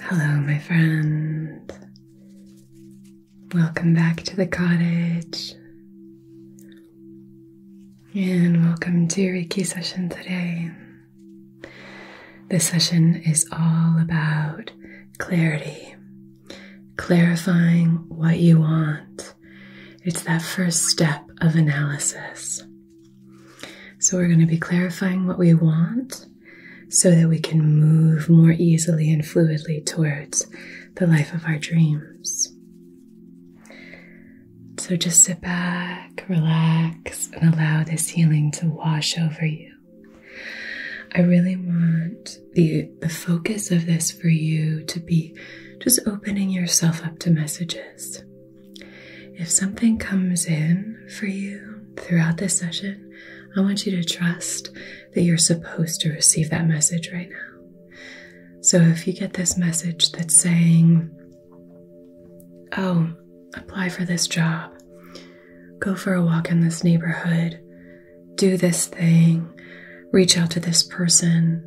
Hello, my friend. Welcome back to the cottage. And welcome to your Reiki session today. This session is all about clarity clarifying what you want. It's that first step of analysis. So, we're going to be clarifying what we want so that we can move more easily and fluidly towards the life of our dreams. So, just sit back, relax, and allow this healing to wash over you. I really want the focus of this for you to be just opening yourself up to messages. If something comes in for you throughout this session, I want you to trust that you're supposed to receive that message right now. So if you get this message that's saying, "Oh, apply for this job. Go for a walk in this neighborhood do this thing, reach out to this person.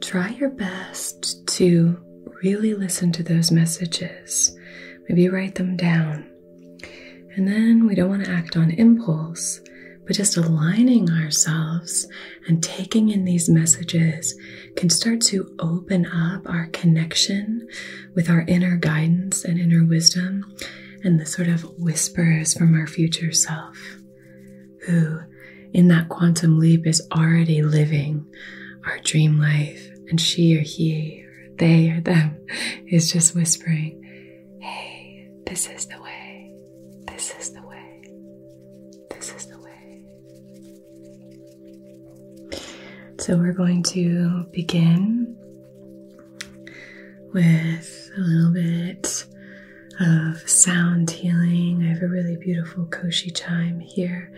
Try your best to really listen to those messages. Maybe write them down. And then we don't want to act on impulse, but just aligning ourselves and taking in these messages can start to open up our connection with our inner guidance and inner wisdom and the sort of whispers from our future self, who in that quantum leap is already living our dream life, and she or he or they or them is just whispering, Hey, this is the way, this is the way, this is the way. So we're going to begin with a little bit of sound healing. I have a really beautiful koshi chime here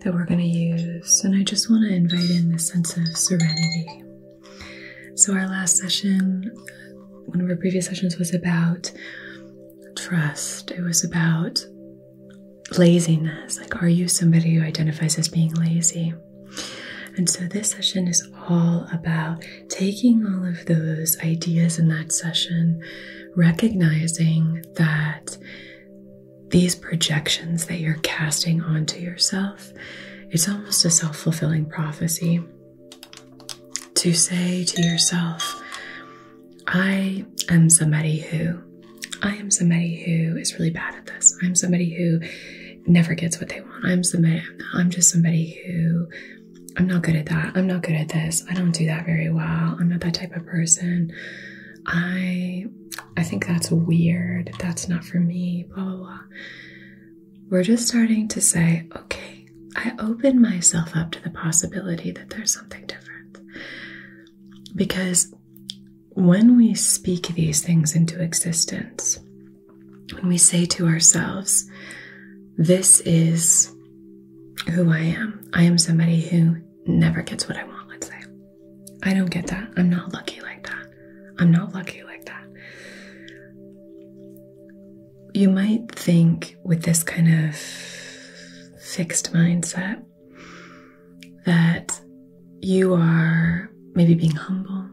that we're going to use, and I just want to invite in the sense of serenity. So, our last session, one of our previous sessions, was about trust, it was about laziness. Like, are you somebody who identifies as being lazy? And so this session is all about taking all of those ideas in that session, recognizing that these projections that you're casting onto yourself, it's almost a self fulfilling prophecy to say to yourself, I am somebody who, I am somebody who is really bad at this. I'm somebody who never gets what they want. I'm somebody, I'm just somebody who I'm not good at that. I'm not good at this. I don't do that very well. I'm not that type of person. I I think that's weird. That's not for me. Blah blah blah. We're just starting to say, okay, I open myself up to the possibility that there's something different. Because when we speak these things into existence, when we say to ourselves, This is who I am. I am somebody who never gets what I want, let's say. I don't get that. I'm not lucky like that. I'm not lucky like that. You might think with this kind of fixed mindset that you are maybe being humble,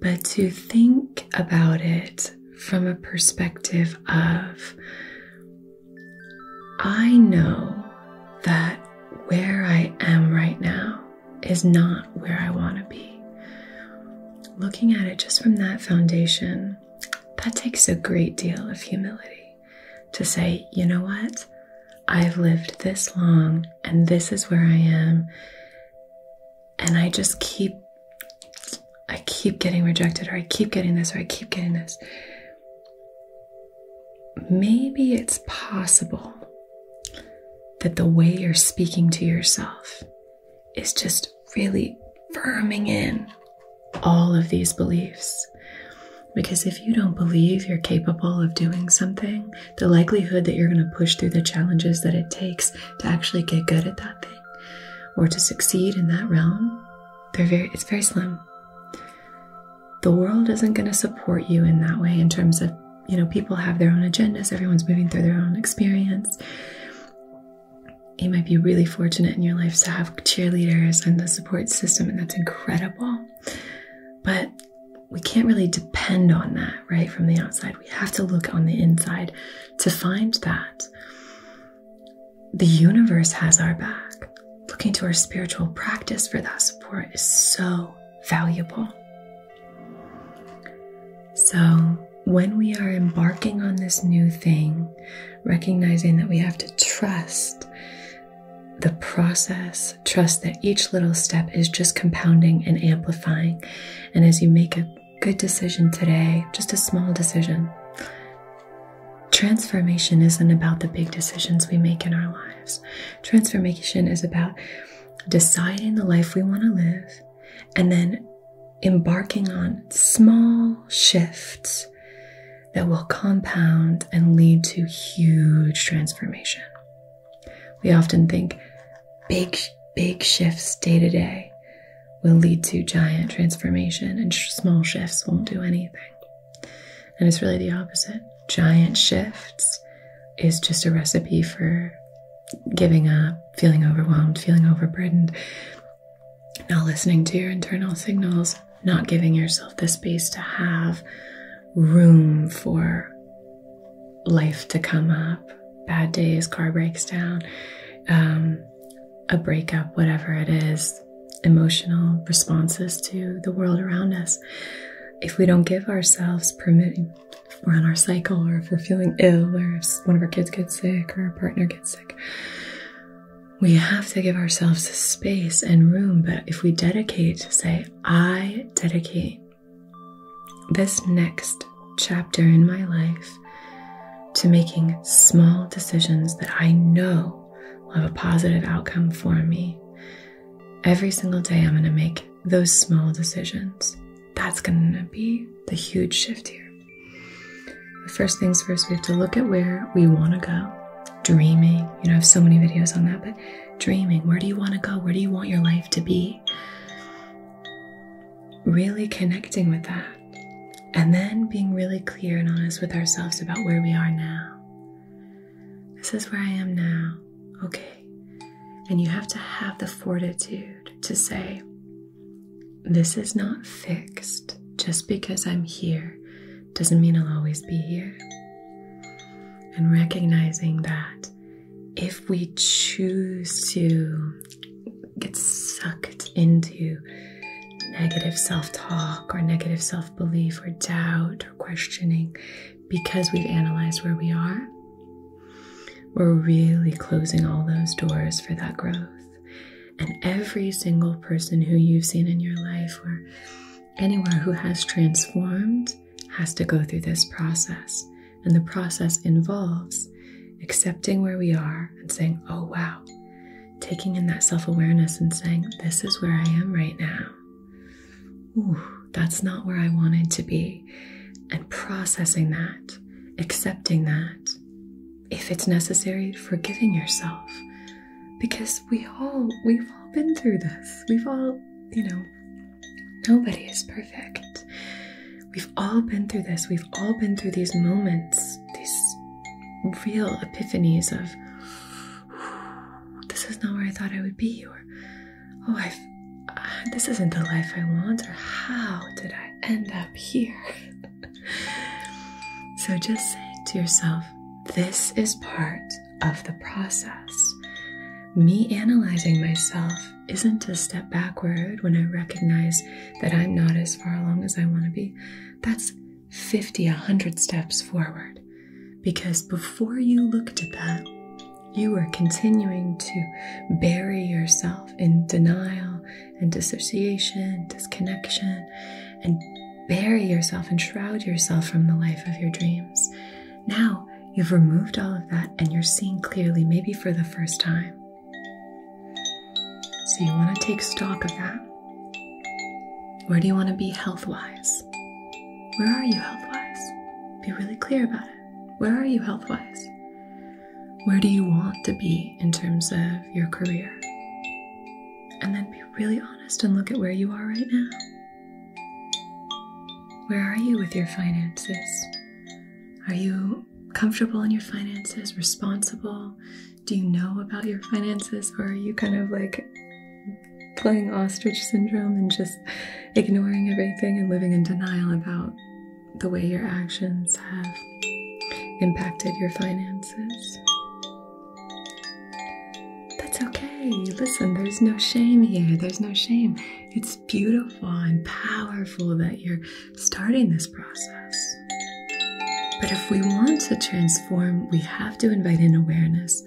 but to think about it from a perspective of I know that where I am right now is not where I want to be. Looking at it just from that foundation, that takes a great deal of humility to say, you know what? I've lived this long and this is where I am and I just keep I keep getting rejected or I keep getting this or I keep getting this. Maybe it's possible that the way you're speaking to yourself is just really firming in all of these beliefs. Because if you don't believe you're capable of doing something, the likelihood that you're going to push through the challenges that it takes to actually get good at that thing or to succeed in that realm, they're very it's very slim. The world isn't going to support you in that way in terms of, you know, people have their own agendas, everyone's moving through their own experience. You might be really fortunate in your life to have cheerleaders and the support system, and that's incredible. But we can't really depend on that, right, from the outside we have to look on the inside to find that. The universe has our back. Looking to our spiritual practice for that support is so valuable. So, when we are embarking on this new thing, recognizing that we have to trust the process, trust that each little step is just compounding and amplifying. And as you make it good decision today, just a small decision. Transformation isn't about the big decisions we make in our lives. Transformation is about deciding the life we want to live and then embarking on small shifts that will compound and lead to huge transformation. We often think, big, big shifts day to day will lead to giant transformation, and small shifts won't do anything. And it's really the opposite. Giant shifts is just a recipe for giving up, feeling overwhelmed, feeling overburdened, not listening to your internal signals, not giving yourself the space to have room for life to come up, bad days, car breaks down, um, a breakup, whatever it is, emotional responses to the world around us. If we don't give ourselves permission, we're on our cycle, or if we're feeling ill, or if one of our kids gets sick, or our partner gets sick, we have to give ourselves space and room. But if we dedicate to say, I dedicate this next chapter in my life to making small decisions that I know will have a positive outcome for me. Every single day, I'm going to make those small decisions. That's going to be the huge shift here. First things first, we have to look at where we want to go. Dreaming, you know, I have so many videos on that, but dreaming, where do you want to go? Where do you want your life to be? really connecting with that, and then being really clear and honest with ourselves about where we are now. This is where I am now, okay. And you have to have the fortitude to say, This is not fixed. Just because I'm here doesn't mean I'll always be here. And recognizing that if we choose to get sucked into negative self talk or negative self belief or doubt or questioning because we've analyzed where we are, we're really closing all those doors for that growth. And every single person who you've seen in your life or anywhere who has transformed has to go through this process. And the process involves accepting where we are and saying, oh, wow, taking in that self awareness and saying, this is where I am right now. Ooh, that's not where I wanted to be. And processing that, accepting that. If it's necessary, forgiving yourself. Because we all, we've all been through this. We've all, you know, Nobody is perfect. We've all been through this. We've all been through these moments, these real epiphanies of this is not where I thought I would be, or oh, I've uh, this isn't the life I want, or how did I end up here? so just say to yourself, this is part of the process. Me analyzing myself isn't a step backward when I recognize that I'm not as far along as I want to be. That's 50, 100 steps forward. Because before you looked at that, you were continuing to bury yourself in denial and dissociation, disconnection, and bury yourself and shroud yourself from the life of your dreams. Now you've removed all of that and you're seeing clearly, maybe for the first time. So you want to take stock of that. Where do you want to be health wise? Where are you health wise? Be really clear about it. Where are you health wise? Where do you want to be in terms of your career? And then be really honest and look at where you are right now. Where are you with your finances? Are you comfortable in your finances, responsible? Do you know about your finances, or are you kind of like playing ostrich syndrome and just ignoring everything and living in denial about the way your actions have impacted your finances? That's okay. Listen, there's no shame here. There's no shame. It's beautiful and powerful that you're starting this process. But if we want to transform, we have to invite in awareness.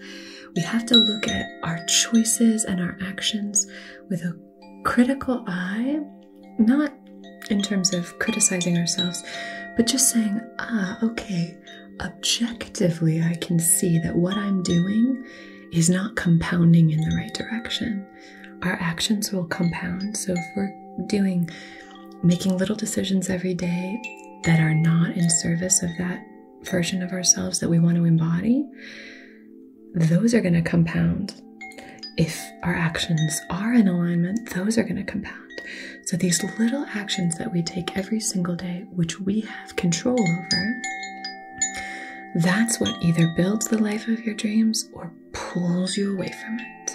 We have to look at our choices and our actions with a critical eye, not in terms of criticizing ourselves, but just saying, ah, okay, objectively, I can see that what I'm doing is not compounding in the right direction our actions will compound. So if we're doing making little decisions every day that are not in service of that version of ourselves that we want to embody, those are going to compound. If our actions are in alignment, those are going to compound. So these little actions that we take every single day, which we have control over, that's what either builds the life of your dreams or pulls you away from it.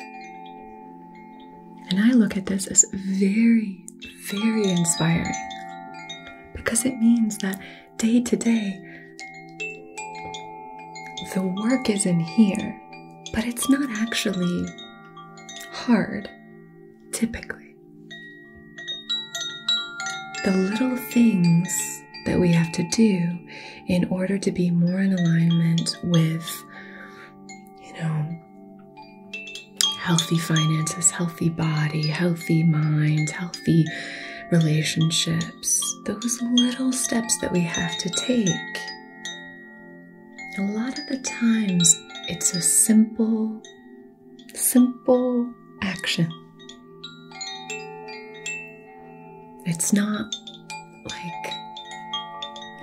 And I look at this as very, very inspiring because it means that day to day, the work is in here, but it's not actually hard, typically. The little things that we have to do in order to be more in alignment with, you know, healthy finances, healthy body, healthy mind, healthy relationships. Those little steps that we have to take. A lot of the times, it's a simple, simple action it's not like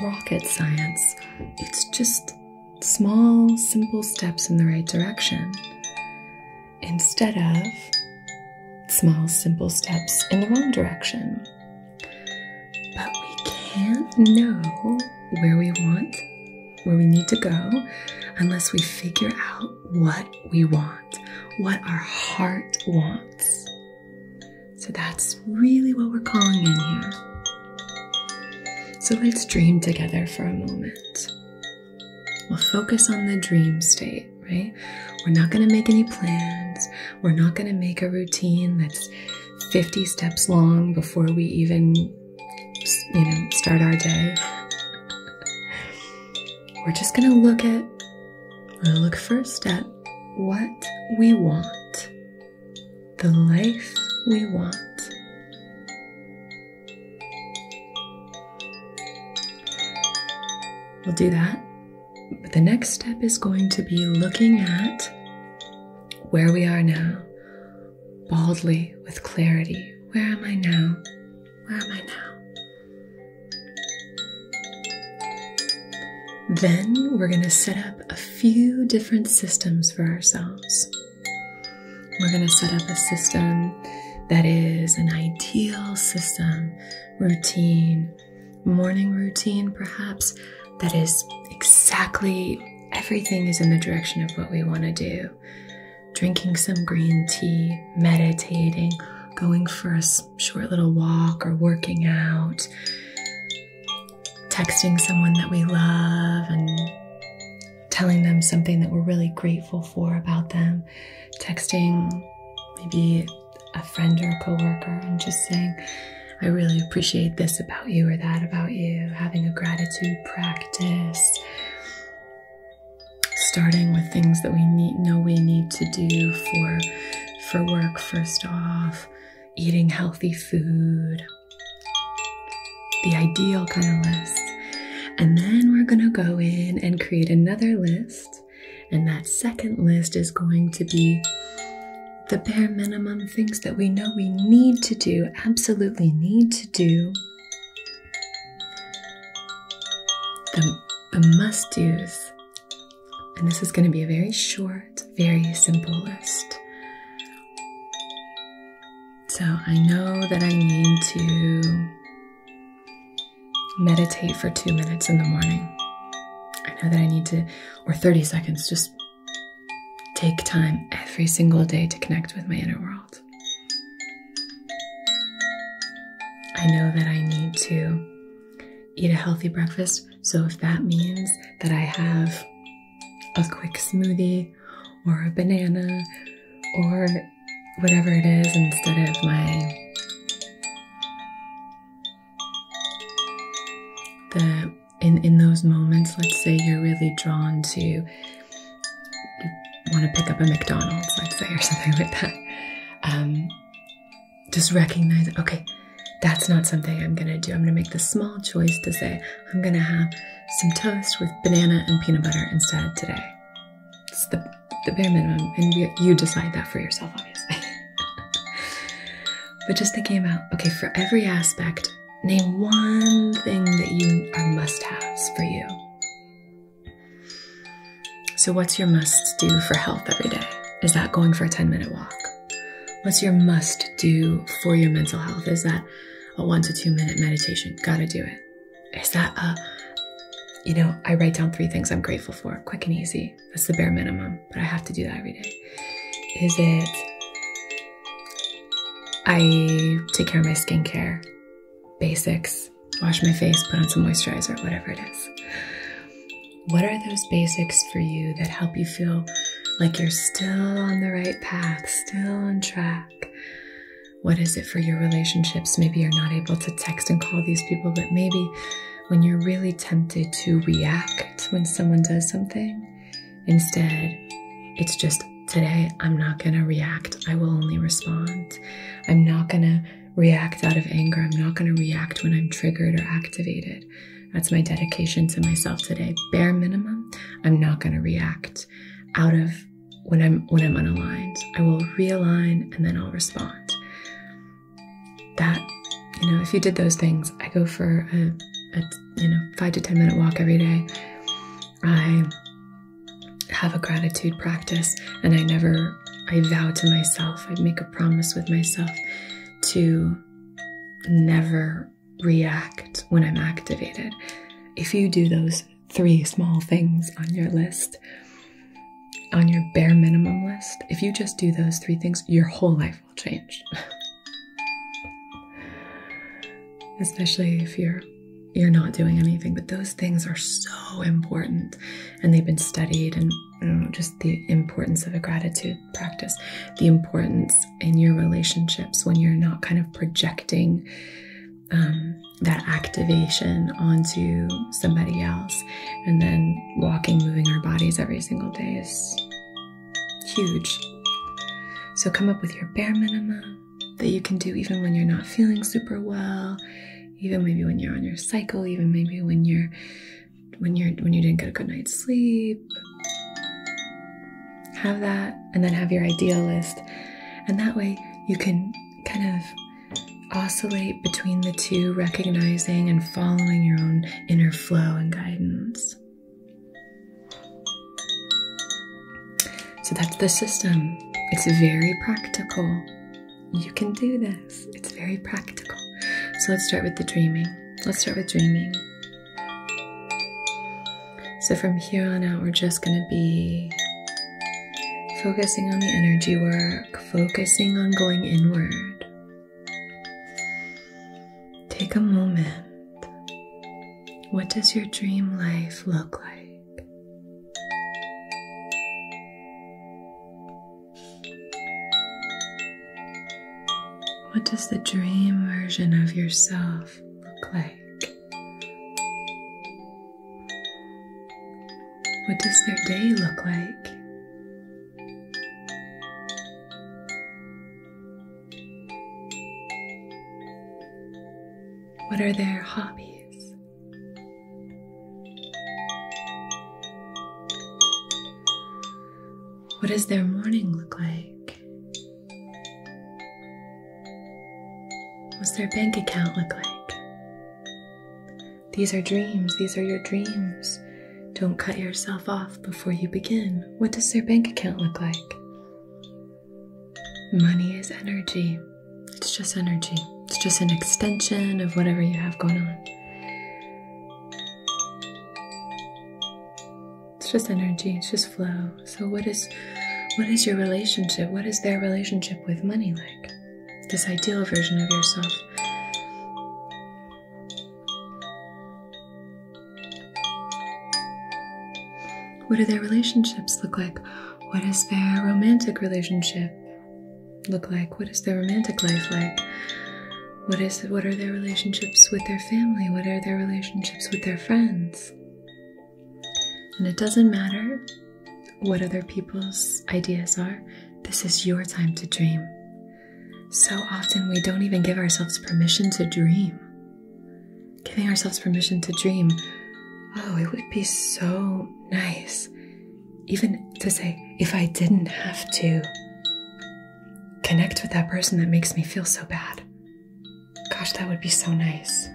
rocket science, it's just small, simple steps in the right direction instead of small, simple steps in the wrong direction. But we can't know where we want, where we need to go, unless we figure out what we want, what our heart wants. So that's really what we're calling in here. So let's dream together for a moment. We'll focus on the dream state, right? We're not going to make any plans. We're not going to make a routine that's 50 steps long before we even, you know, start our day. We're just going to look at we will look first at what we want, the life we want. We'll do that. But the next step is going to be looking at where we are now, baldly with clarity. Where am I now? Where am I now? Then we're going to set up a few different systems for ourselves. We're going to set up a system that is an ideal system, routine, morning routine perhaps, that is exactly everything is in the direction of what we want to do. Drinking some green tea, meditating, going for a short little walk or working out, texting someone that we love and telling them something that we're really grateful for about them, texting maybe a friend or a coworker and just saying, I really appreciate this about you or that about you, having a gratitude practice, starting with things that we need, know we need to do for for work, first off, eating healthy food, the ideal kind of list. And then we're going to go in and create another list. And that second list is going to be the bare minimum things that we know we need to do, absolutely need to do. The, must do's and this is going to be a very short, very simple list. So I know that I need to meditate for two minutes in the morning. I know that I need to, or 30 seconds, just take time every single day to connect with my inner world. I know that I need to eat a healthy breakfast. So if that means that I have a quick smoothie or a banana or whatever it is instead of my the in in those moments let's say you're really drawn to you want to pick up a McDonald's let's say or something like that um, just recognize okay that's not something i'm gonna do i'm gonna make the small choice to say i'm gonna have some toast with banana and peanut butter instead today it's the, the bare minimum and you decide that for yourself obviously but just thinking about okay for every aspect name one thing that you are must-haves for you so, what's your must do for health every day? Is that going for a 10 minute walk? What's your must do for your mental health? Is that a one to two minute meditation? Gotta do it. Is that a, you know, I write down three things I'm grateful for, quick and easy. That's the bare minimum, but I have to do that every day. Is it, I take care of my skincare, basics, wash my face, put on some moisturizer, whatever it is. What are those basics for you that help you feel like you're still on the right path, still on track? What is it for your relationships? Maybe you're not able to text and call these people, but maybe when you're really tempted to react when someone does something, instead, it's just today, I'm not going to react. I will only respond. I'm not going to react out of anger. I'm not going to react when I'm triggered or activated. That's my dedication to myself today. Bare minimum, I'm not going to react out of when I'm when I'm unaligned. I will realign and then I'll respond. That, you know, if you did those things, I go for a, you know, 5 to 10 minute walk every day. I have a gratitude practice and I never I vow to myself, I make a promise with myself to never react when I'm activated. If you do those three small things on your list, on your bare minimum list, if you just do those three things, your whole life will change. Especially if you're you're not doing anything, but those things are so important and they've been studied and just the importance of a gratitude practice, the importance in your relationships when you're not kind of projecting um, that activation onto somebody else. And then walking, moving our bodies every single day is huge. So come up with your bare minimum that you can do even when you're not feeling super well, even maybe when you're on your cycle, even maybe when you're when you're when you didn't get a good night's sleep. Have that and then have your idealist, And that way you can kind of oscillate between the two, recognizing and following your own inner flow and guidance. So that's the system. It's very practical. You can do this. It's very practical. So let's start with the dreaming. Let's start with dreaming. So from here on out, we're just going to be focusing on the energy work, focusing on going inward. Take a moment. What does your dream life look like? What does the dream version of yourself look like? What does their day look like? What are their hobbies? What does their morning look like? What's their bank account look like? These are dreams. These are your dreams. Don't cut yourself off before you begin. What does their bank account look like? Money is energy. It's just energy. It's just an extension of whatever you have going on. It's just energy, it's just flow. So what is what is your relationship? What is their relationship with money like? This ideal version of yourself. What do their relationships look like? What is their romantic relationship? look like? What is their romantic life like? What is what are their relationships with their family? What are their relationships with their friends? And it doesn't matter what other people's ideas are. This is your time to dream. So often we don't even give ourselves permission to dream. Giving ourselves permission to dream. Oh, it would be so nice even to say, if I didn't have to connect with that person that makes me feel so bad, gosh, that would be so nice.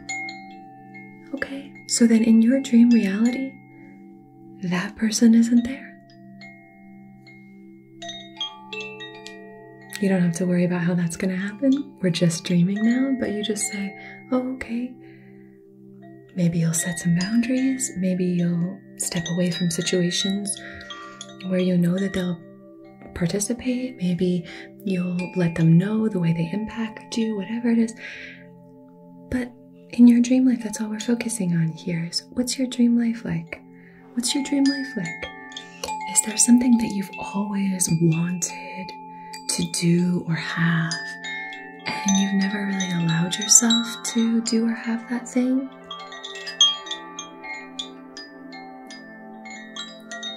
Okay, so then in your dream reality, that person isn't there. You don't have to worry about how that's going to happen. We're just dreaming now, but you just say, oh, okay. Maybe you'll set some boundaries. Maybe you'll step away from situations where you know that they'll participate. Maybe you'll let them know the way they impact you, whatever it is. But in your dream life, that's all we're focusing on here is what's your dream life like? What's your dream life like? Is there something that you've always wanted to do or have? and you've never really allowed yourself to do or have that thing?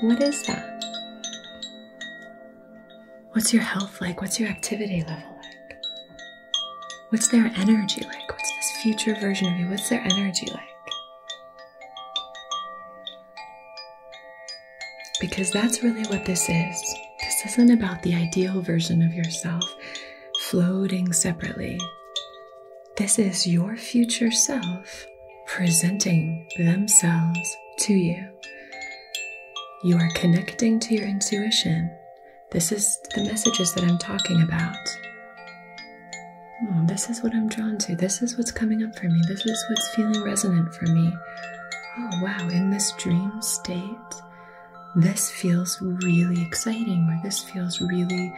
What is that? What's your health like? What's your activity level like? What's their energy like? What's this future version of you? What's their energy like? Because that's really what this is. This isn't about the ideal version of yourself floating separately. This is your future self presenting themselves to you. You are connecting to your intuition. This is the messages that I'm talking about. Hmm, this is what I'm drawn to. This is what's coming up for me. This is what's feeling resonant for me. Oh, wow. In this dream state, this feels really exciting or this feels really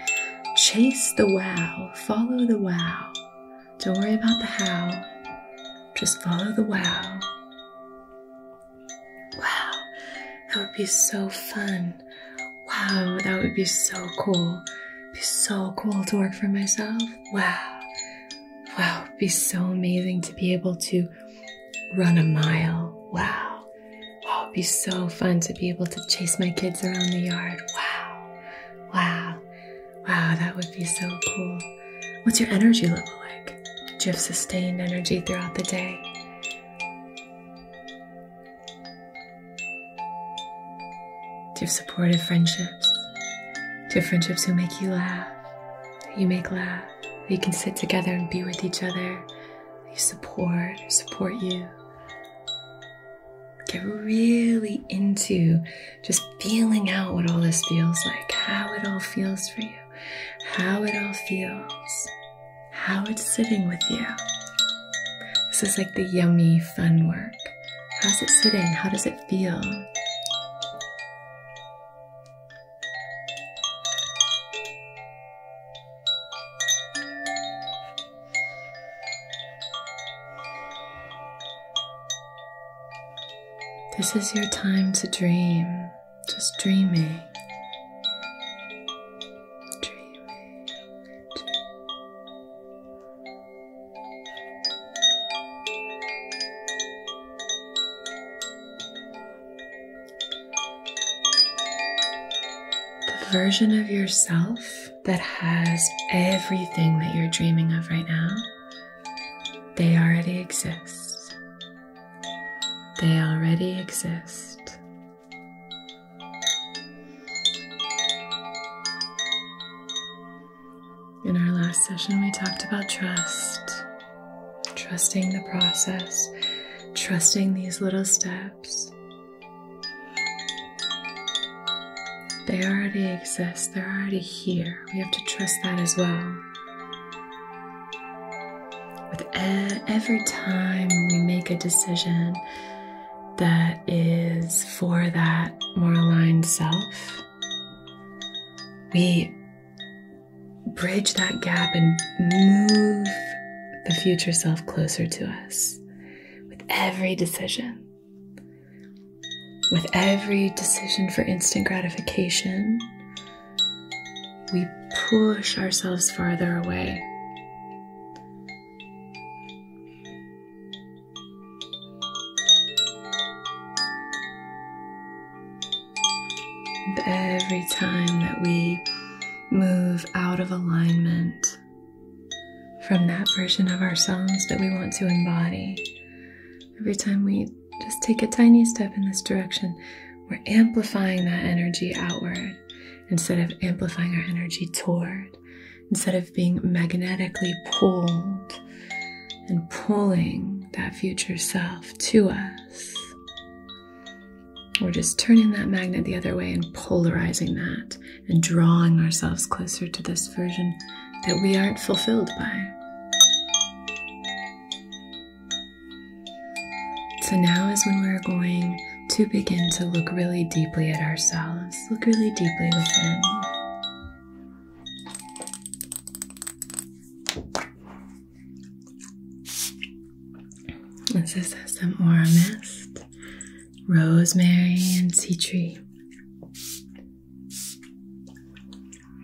chase the wow, follow the wow. Don't worry about the how, just follow the wow. Wow, that would be so fun. Wow, that would be so cool. be so cool to work for myself. Wow. Wow, it'd be so amazing to be able to run a mile. Wow. Oh, it'd be so fun to be able to chase my kids around the yard. Wow. Wow. Wow, that would be so cool. What's your energy level like? Do you have sustained energy throughout the day? Do you have supportive friendships? Do friendships who make you laugh? you make laugh? That you can sit together and be with each other? they support or support you. Get really into just feeling out what all this feels like, how it all feels for you, how it all feels, how it's sitting with you. This is like the yummy, fun work. How's it sitting? How does it feel? This is your time to dream, just dreaming. dreaming. The version of yourself that has everything that you're dreaming of right now, they already exist. They already exist. In our last session, we talked about trust trusting the process, trusting these little steps. They already exist, they're already here. We have to trust that as well. With every time we make a decision that is for that more aligned self, we bridge that gap and move the future self closer to us with every decision. With every decision for instant gratification, we push ourselves farther away. every time that we move out of alignment from that version of ourselves that we want to embody. Every time we just take a tiny step in this direction, we're amplifying that energy outward instead of amplifying our energy toward, instead of being magnetically pulled and pulling that future self to us. We're just turning that magnet the other way and polarizing that and drawing ourselves closer to this version that we aren't fulfilled by. So now is when we're going to begin to look really deeply at ourselves, look really deeply within. This is some aura mist, rosemary, and sea tree.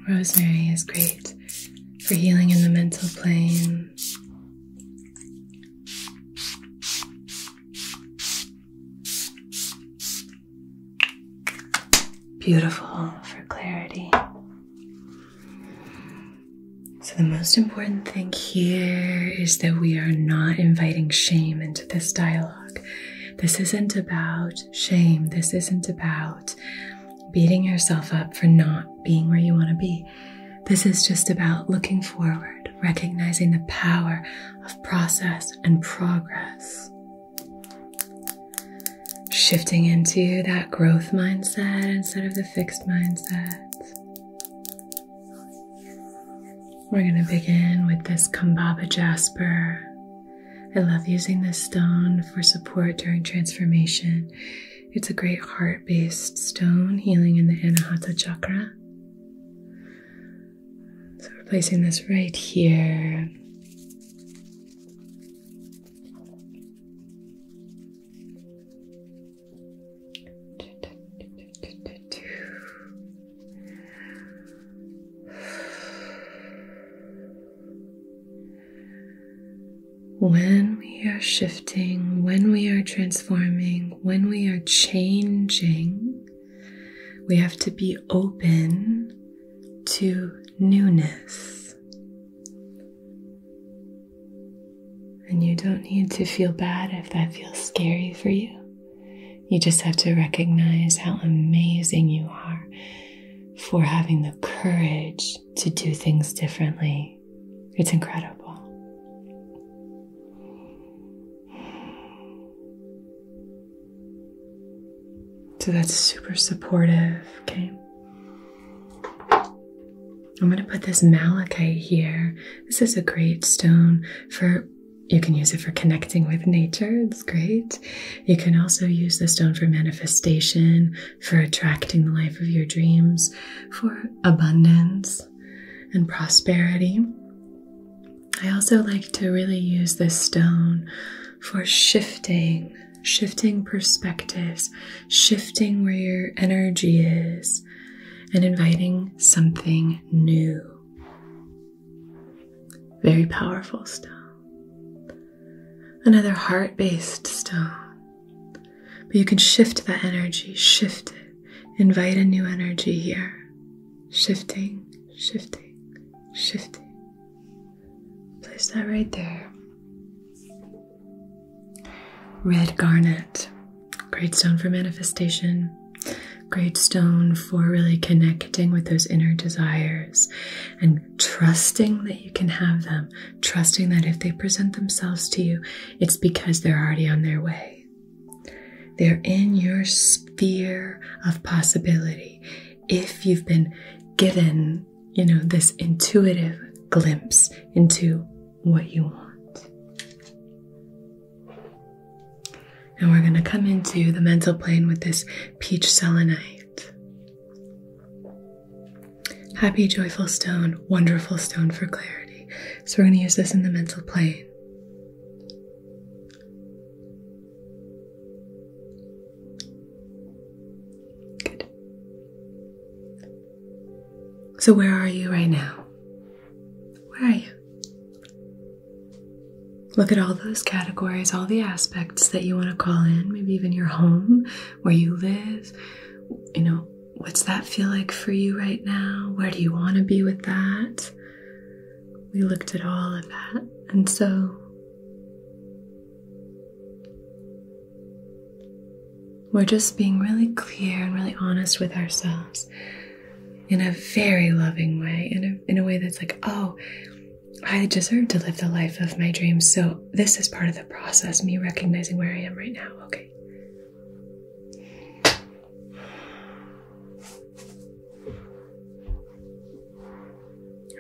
Rosemary is great for healing in the mental plane. Beautiful for clarity. So, the most important thing here is that we are not inviting shame into this dialogue. This isn't about shame. This isn't about beating yourself up for not being where you want to be. This is just about looking forward, recognizing the power of process and progress. Shifting into that growth mindset instead of the fixed mindset. We're going to begin with this Kambaba jasper. I love using this stone for support during transformation. It's a great heart based stone healing in the Anahata chakra. So we're placing this right here. When we are shifting, when we are transforming, when we are changing, we have to be open to newness. And you don't need to feel bad if that feels scary for you. You just have to recognize how amazing you are for having the courage to do things differently. It's incredible. So that's super supportive, okay? I'm going to put this malachite here. This is a great stone for, you can use it for connecting with nature. It's great. You can also use the stone for manifestation, for attracting the life of your dreams, for abundance and prosperity. I also like to really use this stone for shifting, shifting perspectives, shifting where your energy is, and inviting something new. Very powerful stone. Another heart based stone. But you can shift that energy, shift it. Invite a new energy here. Shifting, shifting, shifting. Place that right there. Red garnet, great stone for manifestation, great stone for really connecting with those inner desires and trusting that you can have them, trusting that if they present themselves to you, it's because they're already on their way. They're in your sphere of possibility. If you've been given, you know, this intuitive glimpse into what you want. and we're going to come into the mental plane with this peach selenite. Happy, joyful stone, wonderful stone for clarity. So we're going to use this in the mental plane. Good. So, where are you right now? Where are you? Look at all those categories, all the aspects that you want to call in, maybe even your home, where you live. You know, what's that feel like for you right now? Where do you want to be with that? We looked at all of that. And so, we're just being really clear and really honest with ourselves in a very loving way, in a, in a way that's like, oh, I deserve to live the life of my dreams. So this is part of the process, me recognizing where I am right now. Okay.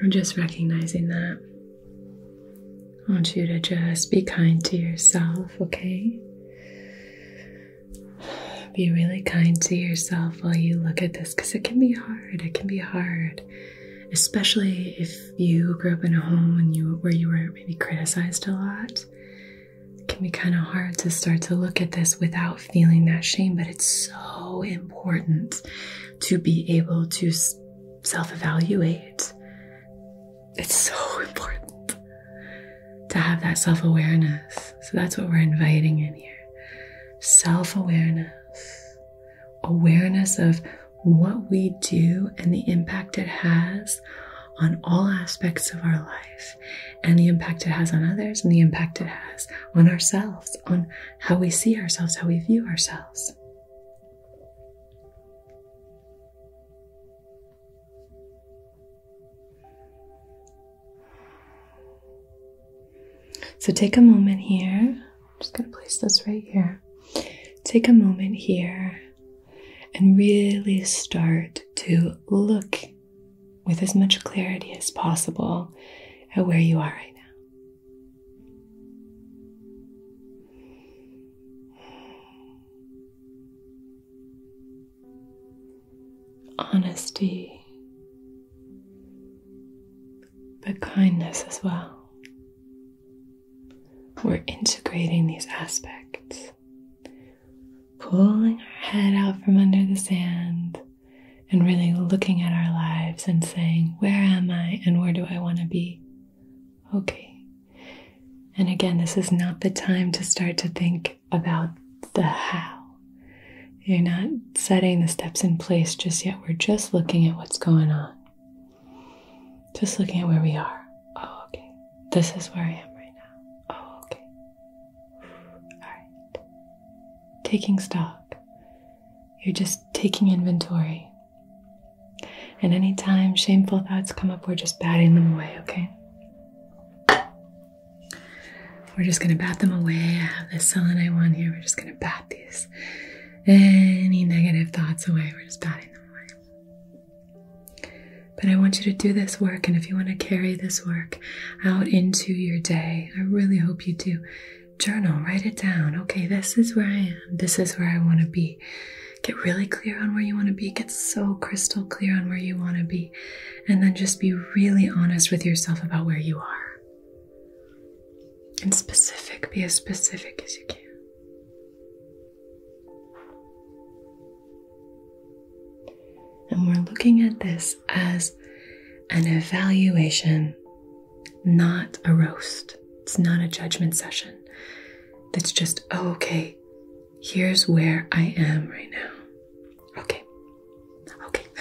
I'm just recognizing that. I want you to just be kind to yourself, okay? Be really kind to yourself while you look at this because it can be hard. It can be hard, especially if you grew up in a home and you, where you were maybe criticized a lot. It can be kind of hard to start to look at this without feeling that shame, but it's so important to be able to self evaluate it's so important to have that self awareness. So that's what we're inviting in here self awareness, awareness of what we do and the impact it has on all aspects of our life and the impact it has on others and the impact it has on ourselves, on how we see ourselves, how we view ourselves. So take a moment here. just going to place this right here. Take a moment here and really start to look with as much clarity as possible at where you are right now honesty, but kindness as well. We're integrating these aspects, pulling our head out from under the sand and really looking at our lives and saying, Where am I and where do I want to be? Okay, and again, this is not the time to start to think about the how. You're not setting the steps in place just yet. We're just looking at what's going on. Just looking at where we are. Oh, okay. This is where I am right now. Oh, okay. All right. Taking stock. You're just taking inventory. And anytime shameful thoughts come up, we're just batting them away, okay? We're just gonna bat them away. I have this selenite one here. We're just gonna bat these any negative thoughts away. We're just batting them away. But I want you to do this work, and if you want to carry this work out into your day, I really hope you do. Journal, write it down. Okay, this is where I am. This is where I want to be. Get really clear on where you want to be. Get so crystal clear on where you want to be. And then just be really honest with yourself about where you are. And specific. Be as specific as you can. And we're looking at this as an evaluation, not a roast. It's not a judgment session. That's just, oh, okay, here's where I am right now. Okay. Okay.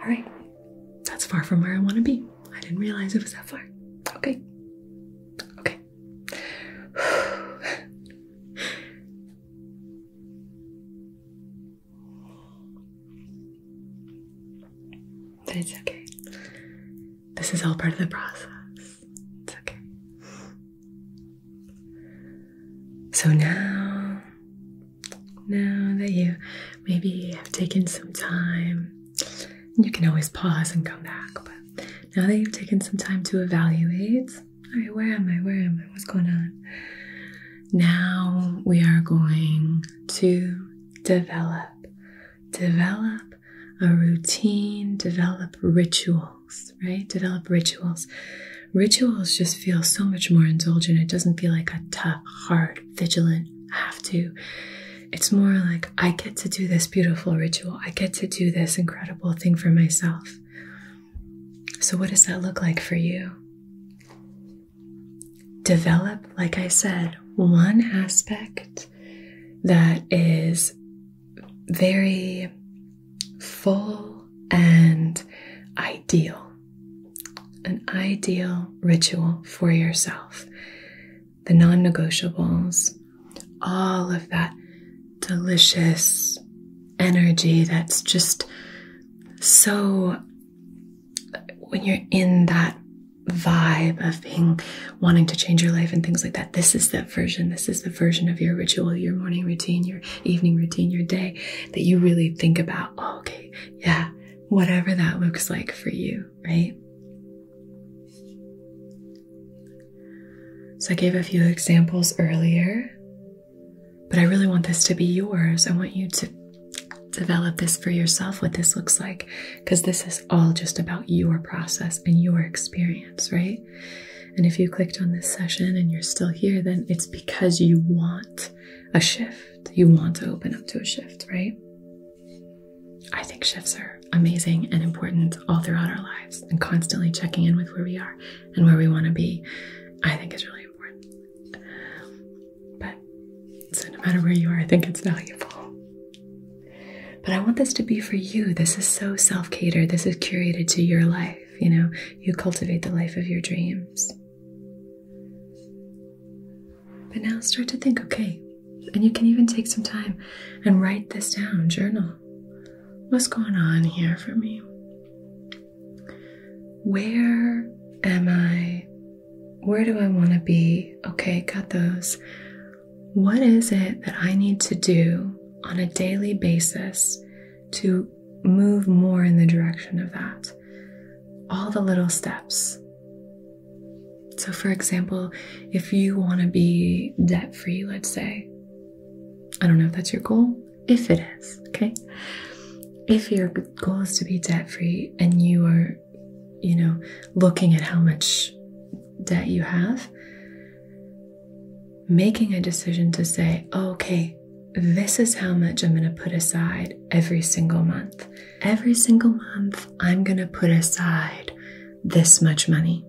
All right. That's far from where I want to be. I didn't realize it was that far. Okay. Okay. but it's okay. This is all part of the process. It's okay. So now, now that you maybe have taken some time, you can always pause and come back. But now that you've taken some time to evaluate, all right, where am I? Where am I? What's going on? Now we are going to develop develop a routine, develop rituals, right? Develop rituals. Rituals just feel so much more indulgent. It doesn't feel like a tough, hard, vigilant, have to. It's more like, I get to do this beautiful ritual. I get to do this incredible thing for myself. So, what does that look like for you? Develop, like I said, one aspect that is very full and ideal. An ideal ritual for yourself. The non negotiables, all of that delicious energy that's just so when you're in that vibe of being wanting to change your life and things like that this is the version. This is the version of your ritual, your morning routine, your evening routine, your day that you really think about. Oh, okay, yeah, whatever that looks like for you, right? So I gave a few examples earlier, but I really want this to be yours. I want you to develop this for yourself what this looks like because this is all just about your process and your experience, right? And if you clicked on this session and you're still here, then it's because you want a shift. You want to open up to a shift, right? I think shifts are amazing and important all throughout our lives, and constantly checking in with where we are and where we want to be, I think is really important. But so, no matter where you are, I think it's valuable. But I want this to be for you. This is so self catered. This is curated to your life. You know, you cultivate the life of your dreams. But now start to think okay, and you can even take some time and write this down, journal. What's going on here for me? Where am I? Where do I want to be? Okay, got those what is it that I need to do on a daily basis to move more in the direction of that? All the little steps. So, for example, if you want to be debt free, let's say, I don't know if that's your goal, if it is, okay? If your goal is to be debt free and you are, you know, looking at how much debt you have, making a decision to say, oh, okay, this is how much I'm going to put aside every single month. Every single month, I'm going to put aside this much money.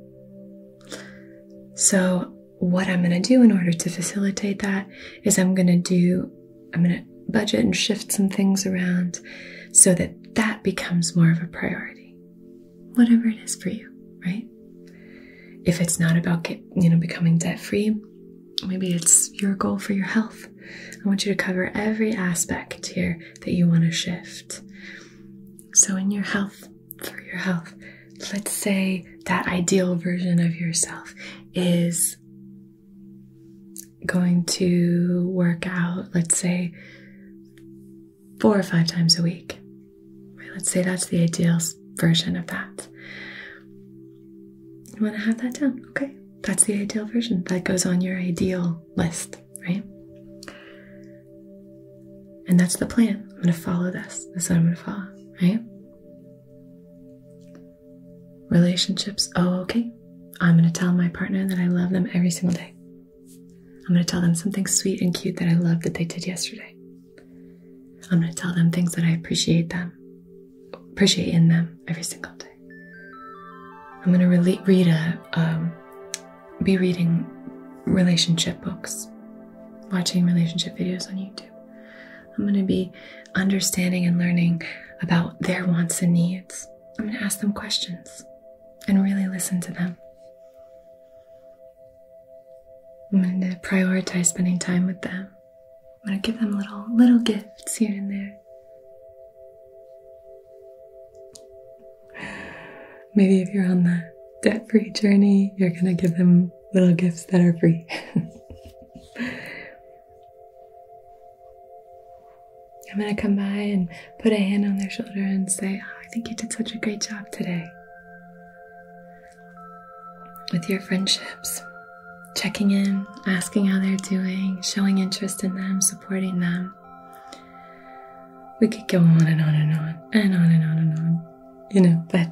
So, what I'm going to do in order to facilitate that is I'm going to do, I'm going to budget and shift some things around so that that becomes more of a priority whatever it is for you, right? If it's not about get, you know becoming debt free, maybe it's your goal for your health. I want you to cover every aspect here that you want to shift. So in your health, for your health, let's say that ideal version of yourself is going to work out, let's say four or five times a week. Right, let's say that's the ideal version of that. You want to have that down, okay? That's the ideal version. That goes on your ideal list, right? And that's the plan. I'm going to follow this. This what I'm going to follow, right? Relationships. Oh, okay. I'm going to tell my partner that I love them every single day. I'm going to tell them something sweet and cute that I love that they did yesterday. I'm going to tell them things that I appreciate them, appreciate in them every single day. I'm going to read a, um, be reading relationship books, watching relationship videos on YouTube. I'm going to be understanding and learning about their wants and needs. I'm going to ask them questions and really listen to them. I'm going to prioritize spending time with them. I'm going to give them little little gifts here and there. Maybe if you're on the debt-free journey, you're going to give them little gifts that are free. I'm going to come by and put a hand on their shoulder and say, ah, I think you did such a great job today. With your friendships, checking in, asking how they're doing, showing interest in them, supporting them. We could go on and on and on and on and on and on, you know, but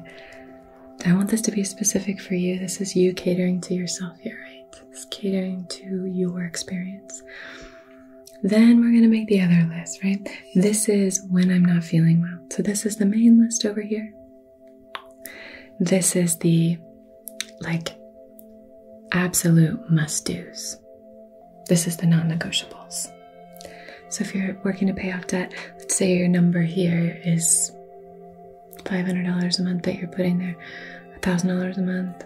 I want this to be specific for you. This is you catering to yourself You're right? It's catering to your experience. Then we're going to make the other list, right? This is when I'm not feeling well. So this is the main list over here. This is the like absolute must do's. This is the non negotiables. So if you're working to pay off debt, let's say your number here is $500 a month that you're putting there, $1,000 a month,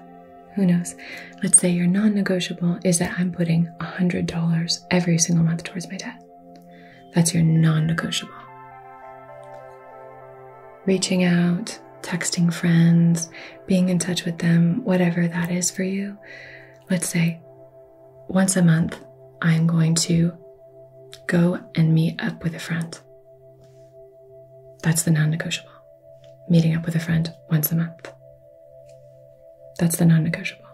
who knows. Let's say your non negotiable is that I'm putting $100 every single month towards my debt. That's your non negotiable. Reaching out, texting friends, being in touch with them, whatever that is for you. Let's say once a month, I'm going to go and meet up with a friend. That's the non negotiable. Meeting up with a friend once a month. That's the non negotiable.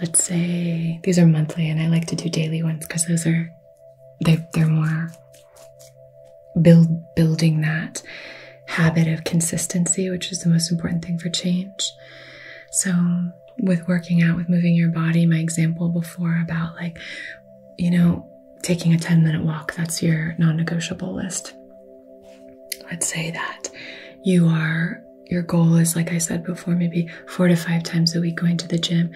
Let's say these are monthly, and I like to do daily ones because those are they they're more build building that habit of consistency, which is the most important thing for change. So with working out, with moving your body, my example before about like, you know, taking a 10 minute walk, that's your non negotiable list. I'd say that you are your goal is like I said before maybe 4 to 5 times a week going to the gym.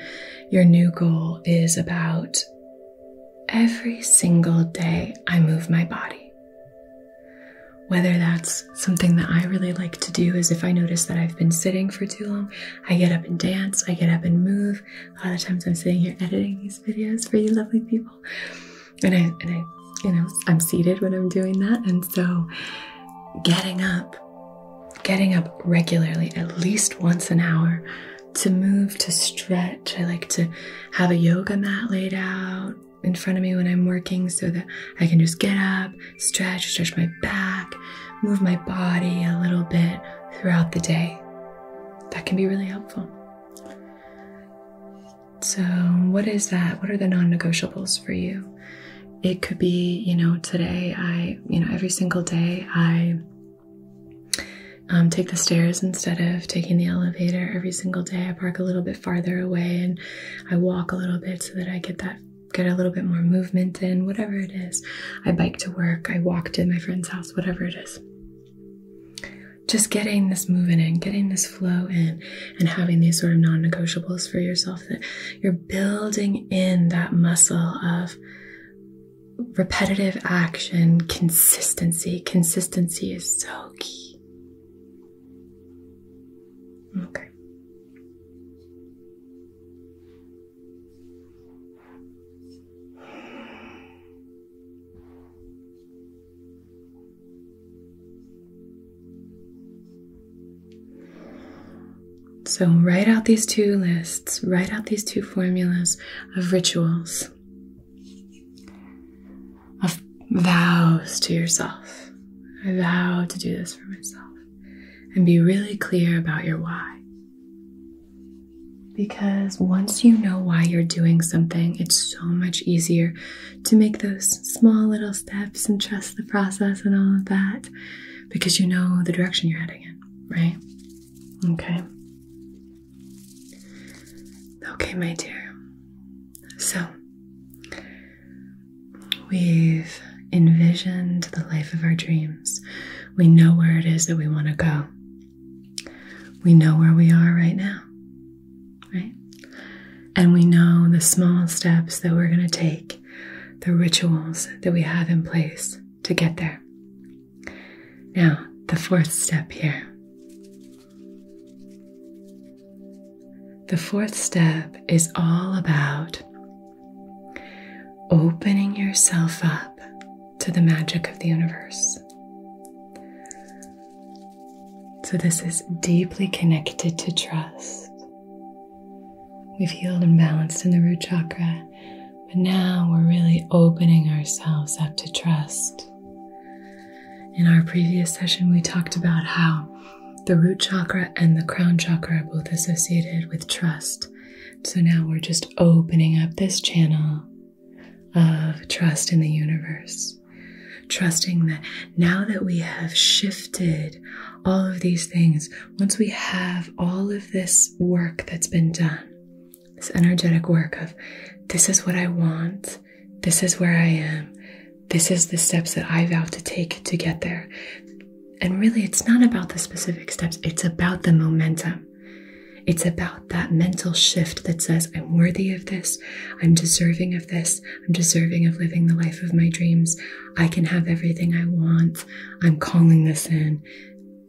Your new goal is about every single day I move my body. Whether that's something that I really like to do is if I notice that I've been sitting for too long, I get up and dance, I get up and move. A lot of times I'm sitting here editing these videos for you lovely people and I, you know, I'm seated when I'm doing that. And so getting up, getting up regularly, at least once an hour, to move, to stretch. I like to have a yoga mat laid out in front of me when I'm working so that I can just get up, stretch, stretch my back, move my body a little bit throughout the day. That can be really helpful. So, what is that? What are the non negotiables for you? It could be, you know, today I, you know, every single day I um, take the stairs instead of taking the elevator. Every single day I park a little bit farther away and I walk a little bit so that I get that get a little bit more movement in, whatever it is. I bike to work, I walk to my friend's house, whatever it is just getting this moving in, getting this flow in, and having these sort of non negotiables for yourself that you're building in that muscle of repetitive action, consistency. Consistency is so key. Okay. So, write out these two lists, write out these two formulas of rituals, of vows to yourself. I vow to do this for myself. And be really clear about your why. Because once you know why you're doing something, it's so much easier to make those small little steps and trust the process and all of that because you know the direction you're heading in, right? Okay. Okay, my dear. So, we've envisioned the life of our dreams. We know where it is that we want to go. We know where we are right now right? And we know the small steps that we're going to take, the rituals that we have in place to get there. Now, the fourth step here. The fourth step is all about opening yourself up to the magic of the universe. So, this is deeply connected to trust. We've healed and balanced in the root chakra, but now we're really opening ourselves up to trust. In our previous session, we talked about how the root chakra and the crown chakra are both associated with trust. So now we're just opening up this channel of trust in the universe. Trusting that now that we have shifted all of these things, once we have all of this work that's been done, this energetic work of this is what I want, this is where I am, this is the steps that I vow to take to get there. And really, it's not about the specific steps, it's about the momentum. It's about that mental shift that says, I'm worthy of this, I'm deserving of this. I'm deserving of living the life of my dreams. I can have everything I want. I'm calling this in.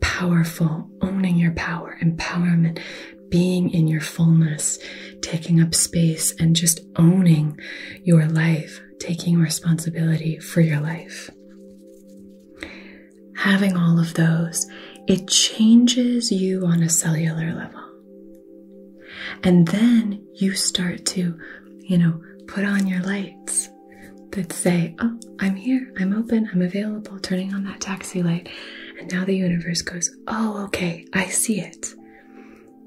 Powerful, owning your power, empowerment, being in your fullness, taking up space, and just owning your life, taking responsibility for your life. Having all of those, it changes you on a cellular level. And then you start to, you know, put on your lights that say, Oh, I'm here, I'm open, I'm available, turning on that taxi light. And now the universe goes, Oh, okay, I see it.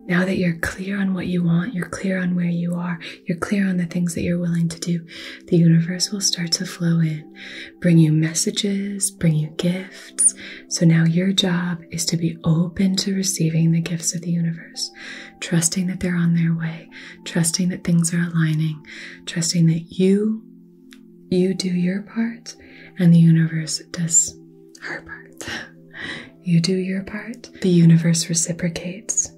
Now that you're clear on what you want, you're clear on where you are, you're clear on the things that you're willing to do, the universe will start to flow in, bring you messages, bring you gifts, so now your job is to be open to receiving the gifts of the universe, trusting that they're on their way, trusting that things are aligning, trusting that you you do your part and the universe does her part. you do your part, the universe reciprocates.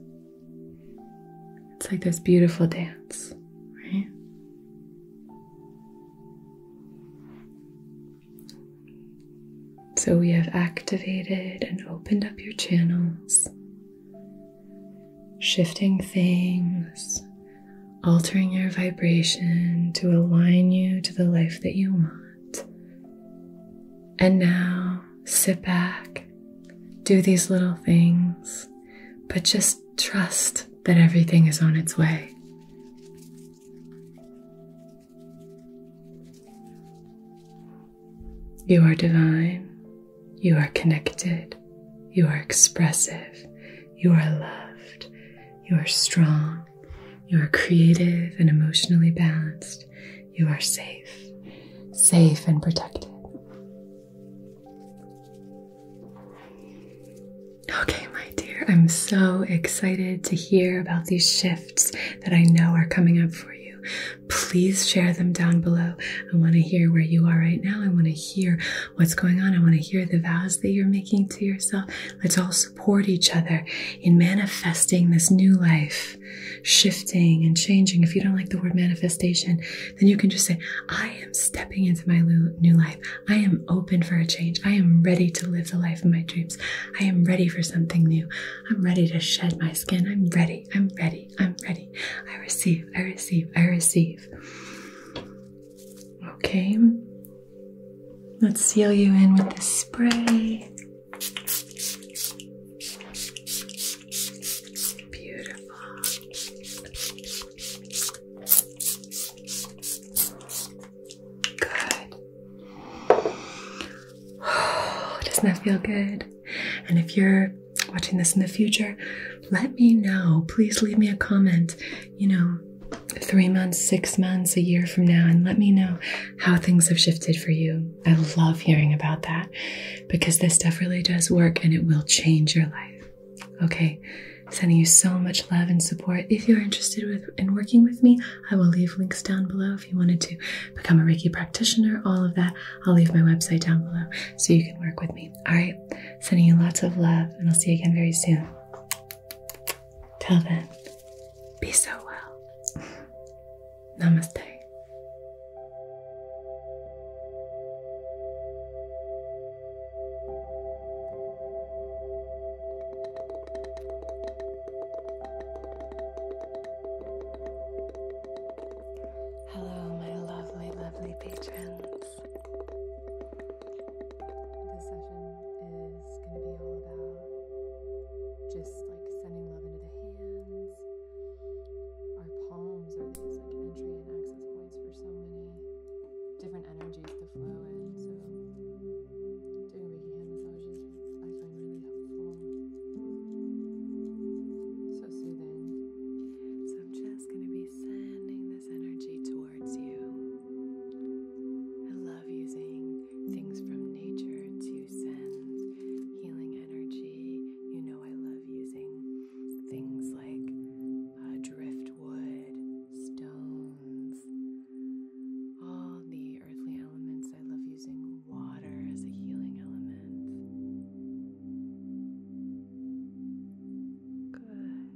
It's like this beautiful dance, right? So we have activated and opened up your channels, shifting things, altering your vibration to align you to the life that you want. And now sit back, do these little things, but just trust that everything is on its way. You are divine, you are connected, you are expressive, you are loved, you are strong, you are creative and emotionally balanced, you are safe, safe and protected. Okay, my dear, I'm so excited to hear about these shifts that I know are coming up for you. Please share them down below. I want to hear where you are right now. I want to hear what's going on. I want to hear the vows that you're making to yourself. Let's all support each other in manifesting this new life, shifting and changing. If you don't like the word manifestation, then you can just say, I am stepping into my new life. I am open for a change. I am ready to live the life of my dreams. I am ready for something new. I'm ready to shed my skin. I'm ready. I'm ready. I'm ready. I receive. I receive. I receive. Okay. Let's seal you in with the spray. Beautiful. Good. Doesn't that feel good? And if you're watching this in the future, let me know. Please leave me a comment, you know, three months, six months, a year from now, and let me know how things have shifted for you. I love hearing about that because this stuff really does work and it will change your life. Okay, Sending you so much love and support. If you're interested in working with me, I will leave links down below if you wanted to become a Reiki practitioner, all of that. I'll leave my website down below so you can work with me. All right. Sending you lots of love, and I'll see you again very soon. Till then, be so well. Namaste. Hello, my lovely, lovely patrons. This session is going to be all about just like sending love into the hands. Our palms are these like entry and access points for so many different energies so doing Reiki hand massages I find really helpful. So soothing. So I'm just going to be sending this energy towards you. I love using things from nature to send healing energy. You know, I love using things like uh, driftwood, stones. All the earthly elements. I love using water as a healing element. Good.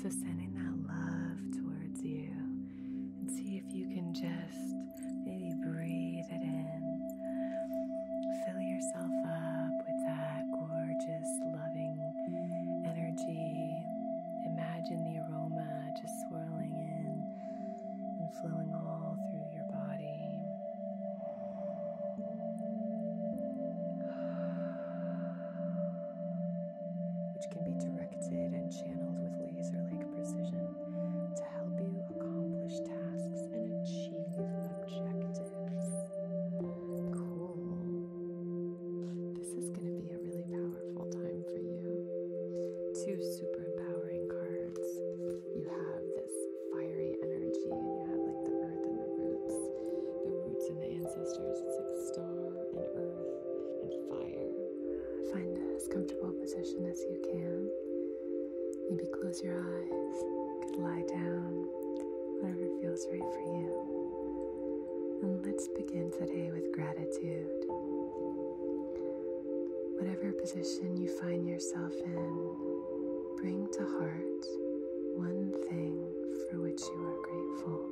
So sending that love towards you and see if you can just maybe breathe it in. Fill yourself up with that gorgeous, loving energy Imagine the aroma just swirling in and flowing all through your body. Which can be directed and channeled with laser like precision to help you accomplish tasks and achieve objectives. Cool. This is going to be a really powerful time for you. Two super empowering cards. You have this fiery energy, and you have like the earth and the roots, the roots and the ancestors. It's like star and earth and fire. Find as comfortable position as you can. Maybe close your eyes. You could lie down. Whatever feels right for you. And let's begin today with gratitude. Whatever position you find yourself in, bring to heart one thing for which you are grateful.